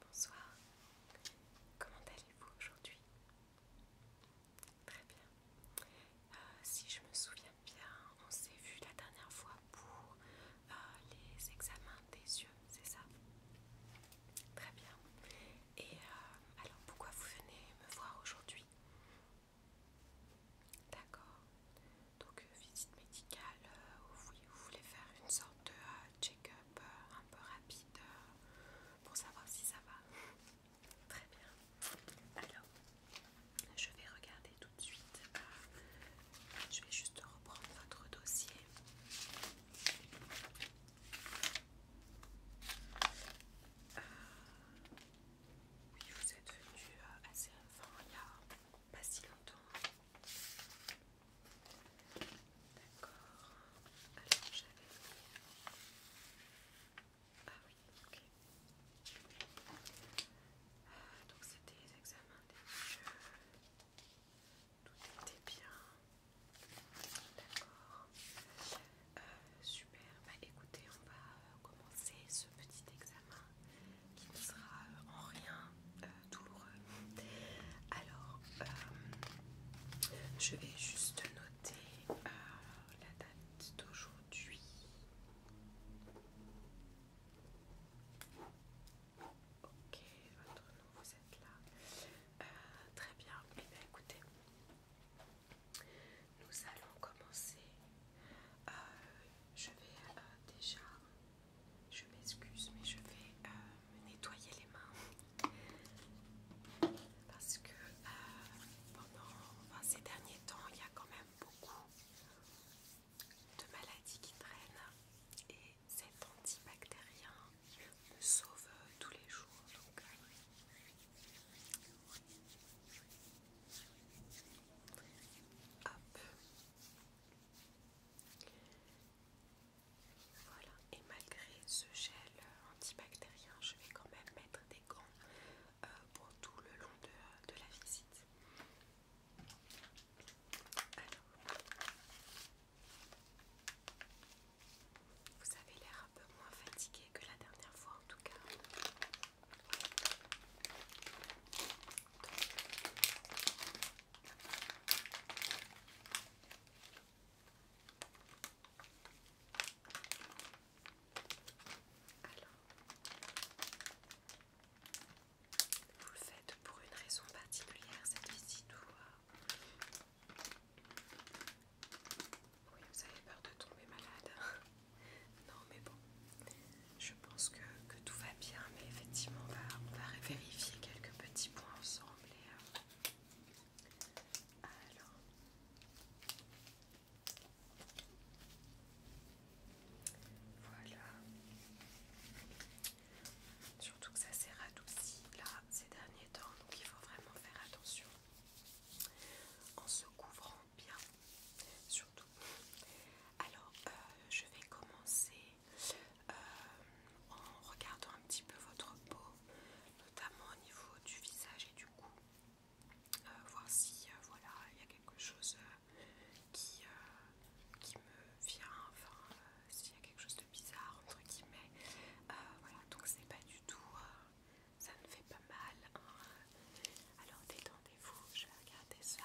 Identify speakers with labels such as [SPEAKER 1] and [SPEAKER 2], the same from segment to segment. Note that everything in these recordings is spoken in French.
[SPEAKER 1] Bonsoir, comment allez-vous aujourd'hui Très bien. Euh, si je me souviens bien, on s'est vu la dernière fois pour euh, les examens des yeux, c'est ça Très bien. Et euh, alors pourquoi vous venez me voir aujourd'hui D'accord visite médicale euh, vous voulez faire une sorte de euh, check-up euh, un peu rapide pour savoir si ça va. Très bien. Alors, je vais regarder tout de suite. je vais juste reprendre votre dossier. oui, vous êtes venu assez, enfin, il n'y a pas si longtemps. D'accord. Alors j'avais Ah oui, ok. donc c'était les examens des jeux. Tout était bien. D'accord. super. Bah écoutez, on va euh, commencer ce petit examen qui ne sera euh, en rien douloureux. Euh, Alors, euh, je vais juste noter la date d'aujourd'hui. Ok, votre nom, vous êtes là. très bien, eh bien écoutez, nous allons commencer. je vais déjà je m'excuse, mais je vais euh, me nettoyer les mains parce que euh, pendant ces derniers temps, il y a quand même beaucoup de maladies qui traînent et cet antibactérien me sauve euh, tous les jours. Voilà, et malgré ce gel euh, antibactérien, je vais quand même mettre des gants euh, pour tout le long de, la visite. vous avez l'air un peu moins fatigué que la dernière fois en tout cas. Alors, vous le faites pour une raison particulière cette visite ou... Euh, oui, vous avez peur de tomber malade. non mais bon, je pense que, tout va bien, mais effectivement, on va, vérifier quelques petits points ensemble. Et, euh, alors, voilà. Surtout que ça s'est radouci là ces derniers temps, donc il faut vraiment faire attention en se couvrant bien, surtout alors, euh, je vais commencer euh, en regardant un petit peu votre peau, notamment au niveau du visage et du cou. Euh, voir si voilà il y a quelque chose qui, me vient enfin s'il y a quelque chose de bizarre entre guillemets voilà donc c'est pas du tout ça ne fait pas mal hein. alors détendez-vous je vais regarder ça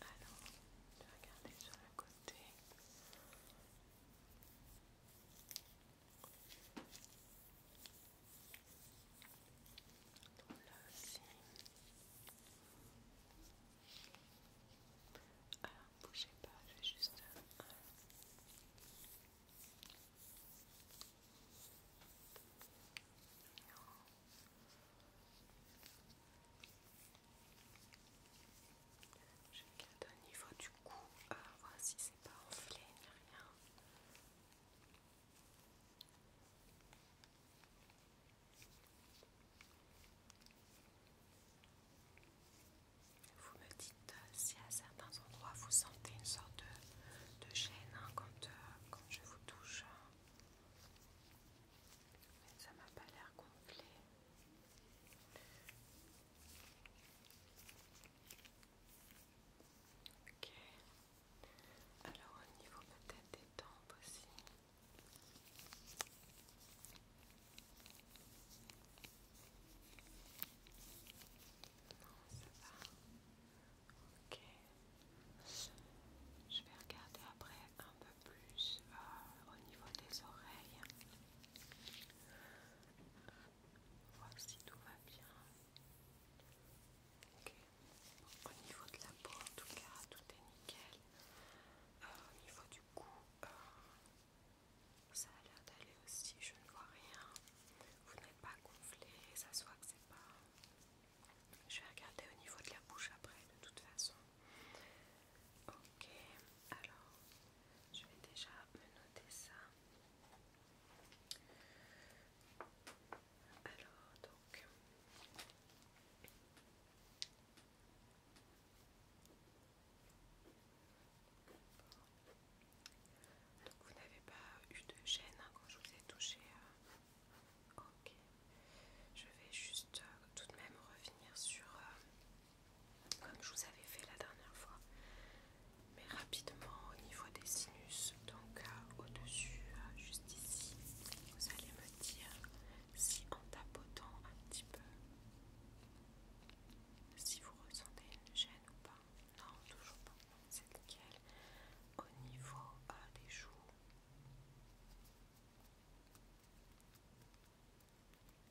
[SPEAKER 1] Alors, je vais regarder sur le côté. Donc là aussi. Alors, bougez pas, je vais juste euh, je regarde au niveau du cou, voici euh, voir si c'est pas enflé ni rien. Vous me dites euh, si à certains vous sentez une sorte de, de gêne hein, quand, euh, quand je vous touche. Mais ça m'a pas l'air gonflé. Alors au niveau peut-être des tempes aussi. Non, ça va. Ok. Je vais regarder après un peu plus euh, au niveau des oreilles. Voir si tout va bien. Ok. au niveau de la peau, en tout cas, tout est nickel. Euh, au niveau du cou, euh, ça a l'air d'aller aussi. Je ne vois rien vous n'êtes pas gonflé, ça soit que c'est pas. Je vais regarder au niveau de la bouche après, de toute façon. Ok, alors je vais déjà me noter ça. Alors donc. Donc vous n'avez pas eu de gêne hein, quand je vous ai touché. Euh, ok. Je vais juste euh, tout de même revenir sur euh, comme je vous avais fait la dernière fois, mais rapidement au niveau des sinus. Donc au-dessus, juste ici, vous allez me dire si en tapotant un petit peu si vous ressentez une gêne ou pas. Non, toujours pas. C'est lequel Au niveau des joues.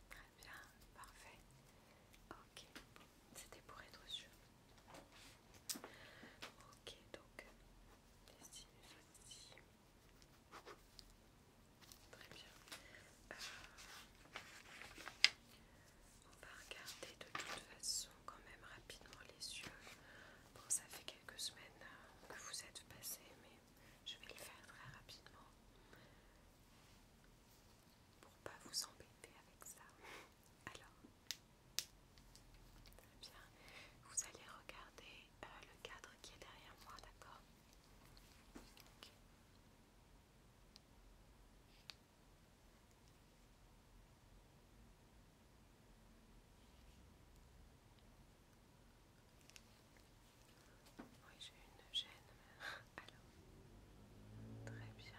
[SPEAKER 1] Très bien, parfait. Ok, c'était pour être sûr. Ok, donc les ici. Très bien. On va regarder de toute façon quand même rapidement les yeux. Bon, ça fait quelques semaines euh, que vous êtes passé, mais je vais le faire très rapidement pour pas vous embêter avec ça. Alors, très bien. Vous allez regarder euh, le cadre qui est derrière moi, d'accord oui, j'ai une gêne. Alors, très bien.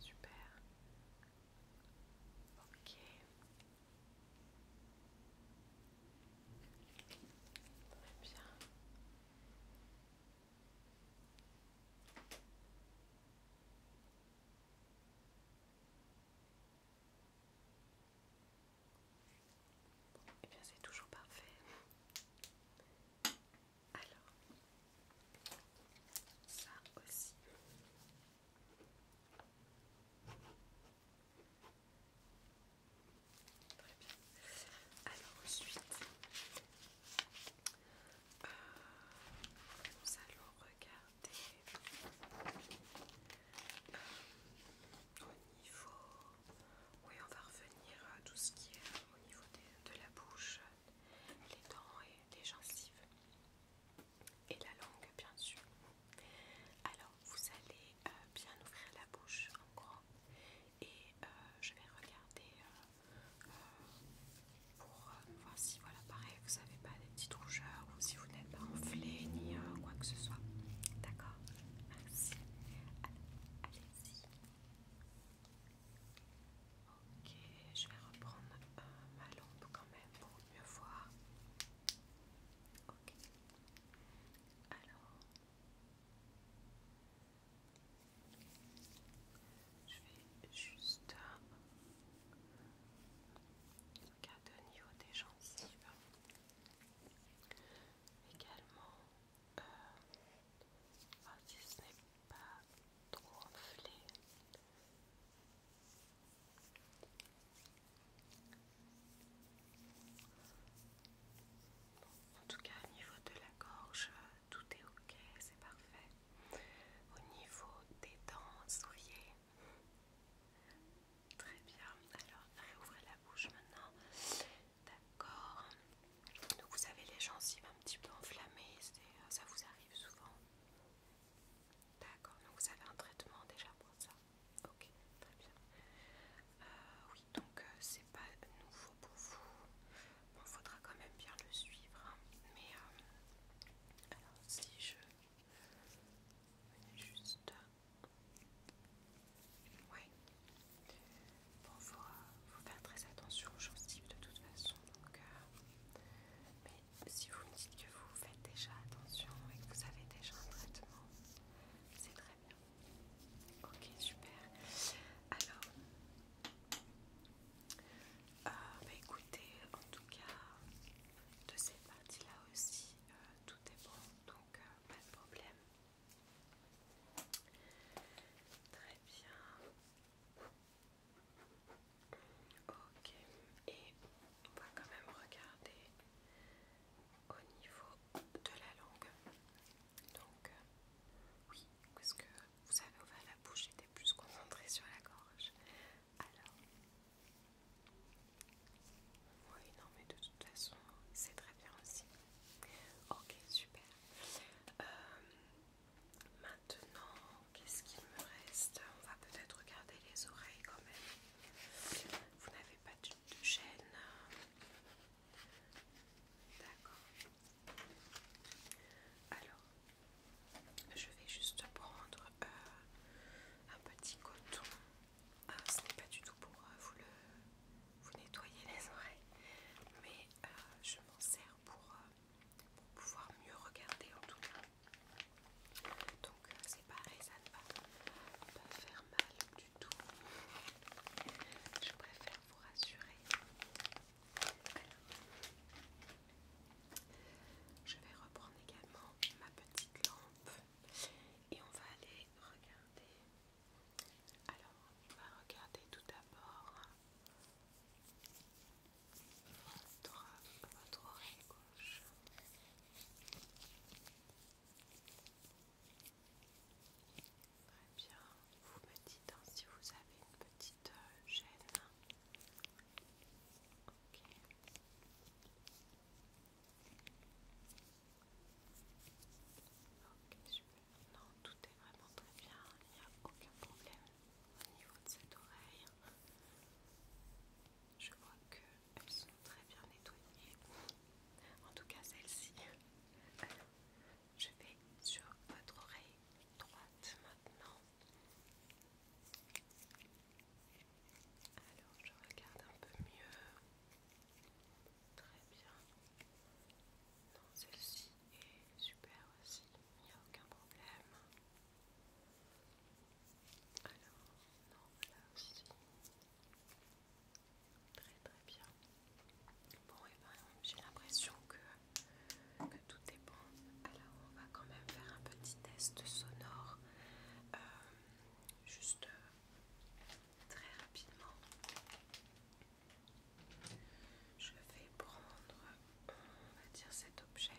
[SPEAKER 1] Super. Ok. Très bien. Et eh bien c'est toujours parfait. Alors, ça aussi. Très bien. Alors ensuite, nous allons regarder euh, au niveau. Oui, on va revenir à tout ce qui est au niveau de la bouche, les dents et les gencives. Et la langue, bien sûr. Alors, vous allez euh, bien ouvrir la bouche en gros et euh, je vais regarder euh, euh, pour voir si voilà pareil vous n'avez pas des petites rougeurs ou si vous n'êtes pas enflé ni quoi que ce soit. D'accord Merci. Allez-y. Ok, je vais reprendre ma lampe quand même pour mieux voir. Ok. Alors, je vais juste un euh, au niveau des gencives. Également, euh, oh, si ce n'est pas trop enflé. En tout cas, au niveau de la gorge, tout est ok, c'est parfait. Au niveau des dents voyez très bien. Alors, réouvrez la bouche maintenant. D'accord. Donc, vous avez les gencives un petit peu enflammées, euh, ça vous arrive souvent. D'accord, donc vous avez un traitement déjà pour ça. Ok, très bien. Euh, donc euh, c'est pas nouveau pour vous. Bon, faudra quand même bien le suivre. Hein. Mais euh, alors, si je juste. Ouais. Bon, euh, faut, faire très attention aux gencives de toute façon. Donc, mais si vous me dites que vous faites déjà attention et que vous avez déjà un traitement, c'est très bien. Ok, super. Alors, euh, bah écoutez, en tout cas, de cette partie-là aussi, euh, tout est bon, donc euh, pas de problème. Très bien. Ok, et on va quand même regarder au niveau de la langue. Donc, euh, oui, parce que vous avez ouvert la bouche, j'étais plus concentrée sur la gorge. Alors, oui, non, mais de toute façon, c'est très bien aussi. Ok, super. Euh, maintenant, qu'est-ce qu'il me reste On va peut-être regarder les oreilles quand même. Vous n'avez pas de chaîne D'accord. Alors, je vais juste prendre euh, un petit coton. Ah, ce n'est pas du tout pour euh, vous le nettoyer les oreilles, mais euh, je m'en sers pour, pouvoir mieux regarder en tout cas. Donc c'est pareil, ça ne va pas faire mal du tout. Je préfère vous rassurer. Je vais reprendre également ma petite lampe et on va aller regarder. Alors, on va regarder tout d'abord votre oreille gauche. Très bien. Vous me dites hein, si vous avez une petite gêne. Euh, ok. Ok, Non, tout est vraiment très bien. Il n'y a aucun problème au niveau de cette oreille. Je vois qu'elles sont très bien nettoyées. En tout cas, celle-ci. Alors, je vais sur votre oreille droite maintenant. Alors, je regarde un peu mieux. Très bien. Non, celle-ci est super aussi, il n'y a aucun problème. Alors, non, là aussi. Très très bien. Bon et eh ben j'ai l'impression que, que tout est bon. Alors on va quand même faire un petit test sonore. Euh, juste euh, très rapidement. Je vais prendre on va dire cet objet.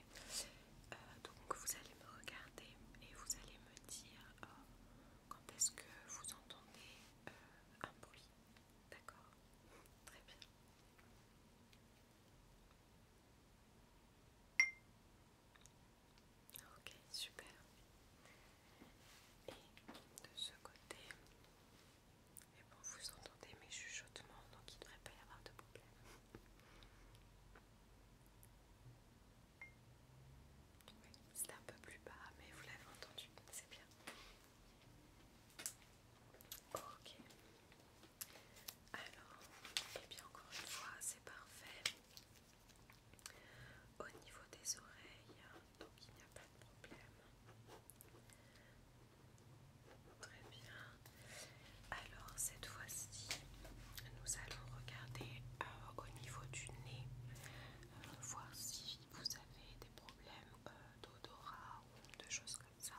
[SPEAKER 1] Euh, donc vous allez me regarder et vous allez me dire quand est-ce que vous entendez un bruit, d'accord Très bien. Ok, super. Et de ce côté, eh bon, vous entendez mes chuchotements, donc il ne devrait pas y avoir de problème. Oui, c'est un peu plus bas, mais vous l'avez entendu, c'est bien. Ok. Alors, et eh bien encore une fois, c'est parfait. Au niveau des oreilles, donc il n'y a pas de problème. Très bien. Alors cette fois-ci, nous allons regarder euh, au niveau du nez voir si vous avez des problèmes euh, d'odorat ou de choses comme ça.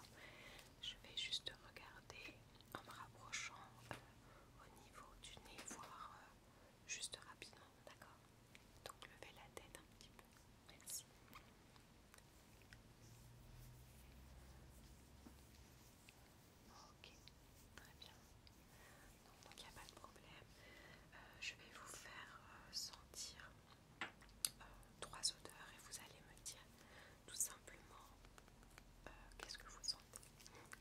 [SPEAKER 1] Je vais juste regarder en me rapprochant euh, au niveau du nez, voir euh, juste rapidement, d'accord Donc levez la tête un petit peu. Merci. Ok, très bien. donc il n'y a pas de problème. Euh, je vais vous faire euh, sentir euh, trois odeurs et vous allez me dire tout simplement qu'est-ce que vous sentez.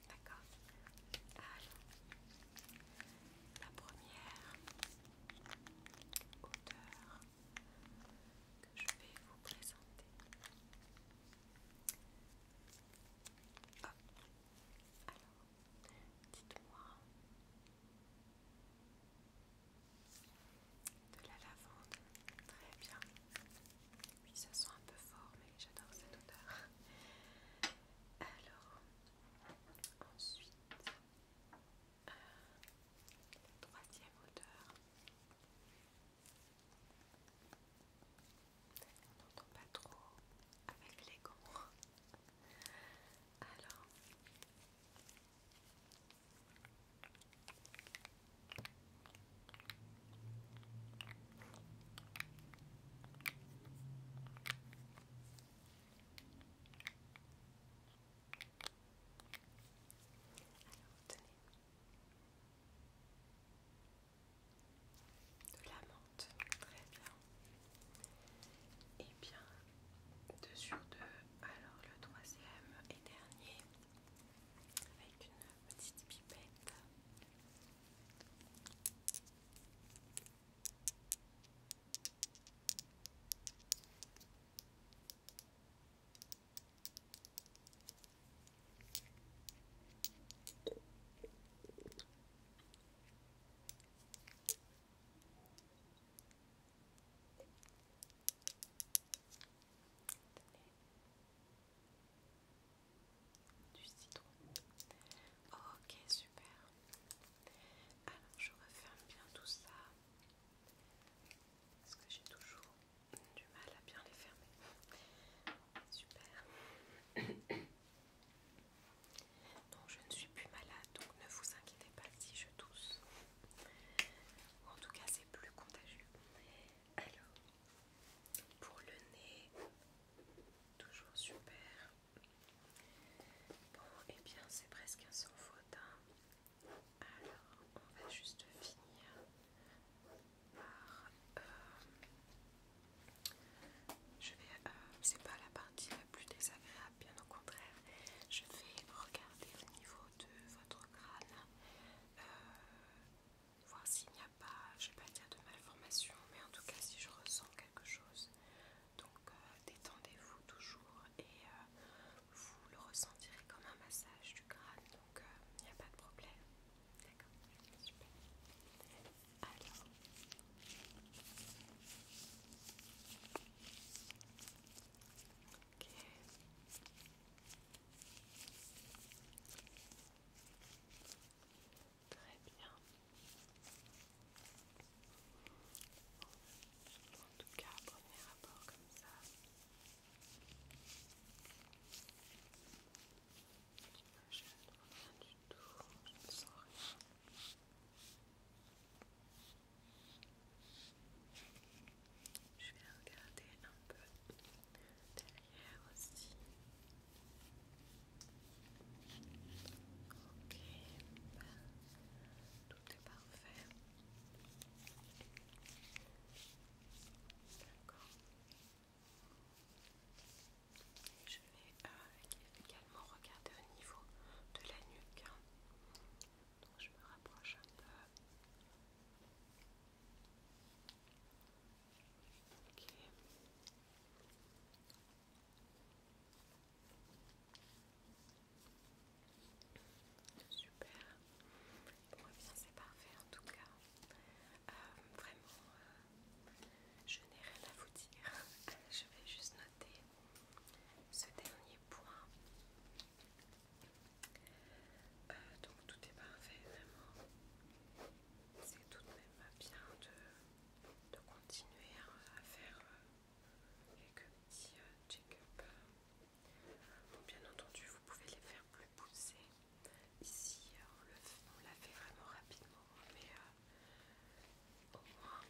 [SPEAKER 1] D'accord Alors, la première odeur que je vais vous présenter. Alors, Dites-moi. De la lavande. Très bien. Oui, ça sent un peu fort, mais j'adore cette odeur. Alors, ensuite, euh, la troisième odeur. On n'entend pas trop avec les gants. Alors. Alors, tenez de la menthe, très bien. Et bien, deux sur deux. alors le troisième et dernier, avec une petite pipette du citron. Ok, super. Alors je referme bien tout ça. Parce que j'ai toujours du mal à bien les fermer. Super. Donc je ne suis plus malade, donc ne vous inquiétez pas si je tousse. en tout cas, c'est plus contagieux. Alors, pour le nez, toujours super. Bon, et eh bien c'est presque un sans faute. Hein. Alors, on va juste finir je vais... Euh, c'est pas la partie la plus désagréable, bien au contraire. Je vais regarder au niveau de votre crâne, euh, voir s'il n'y a pas, je vais pas dire de malformation, mais en tout cas si je ressens quelque chose. Donc euh, détendez-vous toujours et vous le ressentirez comme un massage du crâne, donc il n'y a pas de problème. D'accord, Alors. Ok. Très bien. En tout cas, premier rapport comme ça. Je ne trouve rien du tout, je ne sens rien. Je vais regarder un peu derrière aussi. Ok, bah, tout est parfait. D'accord je vais euh, également regarder au niveau de la nuque. Donc je me rapproche un peu. Ok. Super. Bon, eh c'est parfait en tout cas. Euh, vraiment, euh, je n'ai rien à vous dire. Euh, je vais juste noter ce dernier point. donc tout est parfait, vraiment. C'est tout de même bien de, continuer à faire quelques petits check-up. bien entendu, vous pouvez les faire plus pousser Ici, on l'a fait vraiment rapidement, mais euh, au moins,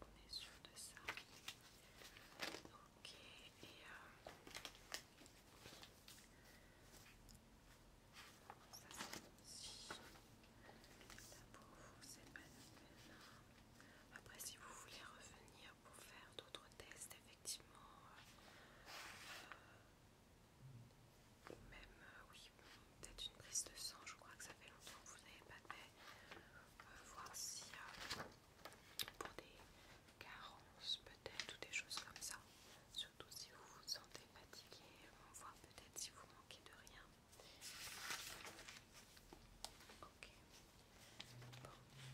[SPEAKER 1] on est sûr de ça. Ok, et... Euh, ça c'est aussi pour vous, c'est pas hein. Après si vous voulez revenir pour faire d'autres tests effectivement, euh, même, euh, oui, peut-être une prise de sang, je crois que ça fait longtemps que vous n'avez pas de euh, voir si pour des carences peut-être ou des choses comme ça, surtout si vous vous sentez fatigué, on voit peut-être si vous manquez de rien. Ok et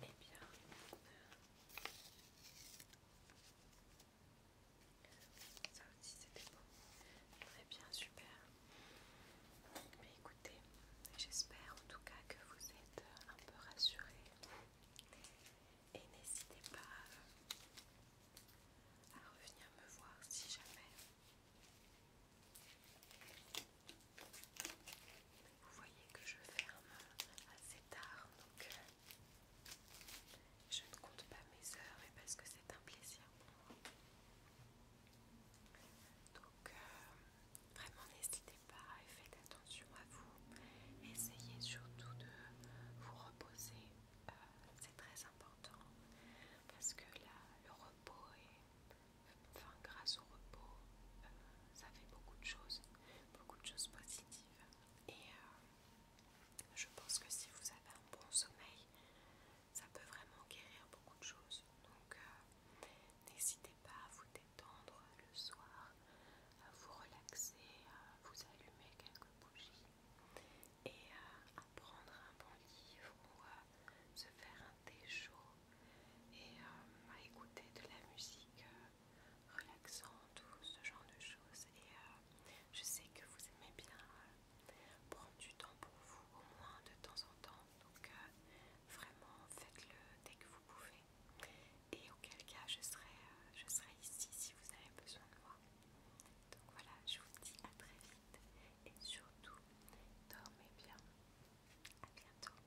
[SPEAKER 1] eh bien, ça aussi c'était bon. Très bien, super. Mais écoutez, j'espère en tout cas que vous êtes un peu rassurés. Et n'hésitez pas euh, à revenir me voir si jamais. Vous voyez que je ferme assez tard, donc euh, je ne compte pas mes heures, mais parce que c'est un plaisir pour moi. Donc, euh, vraiment, n'hésitez pas et faites attention à vous. Essayez surtout de vous reposer, euh, c'est très important parce que là, le repos est. Enfin, grâce au repos, ça fait beaucoup de choses beaucoup de choses positives. Et euh, je pense que si vous avez un bon sommeil, ça peut vraiment guérir beaucoup de choses. Donc euh, n'hésitez pas à vous détendre le soir, à vous relaxer, à vous allumer quelques bougies et euh, à prendre un bon livre ou à se faire un thé chaud et à écouter de la musique relaxant, ou ce genre de choses. Et euh, je sais que vous aimez bien euh, prendre du temps pour vous, au moins de temps en temps. Donc euh, vraiment, faites-le dès que vous pouvez. Et auquel cas, je serai, je serai ici si vous avez besoin de moi. Donc voilà, je vous dis à très vite et surtout, dormez bien. À bientôt.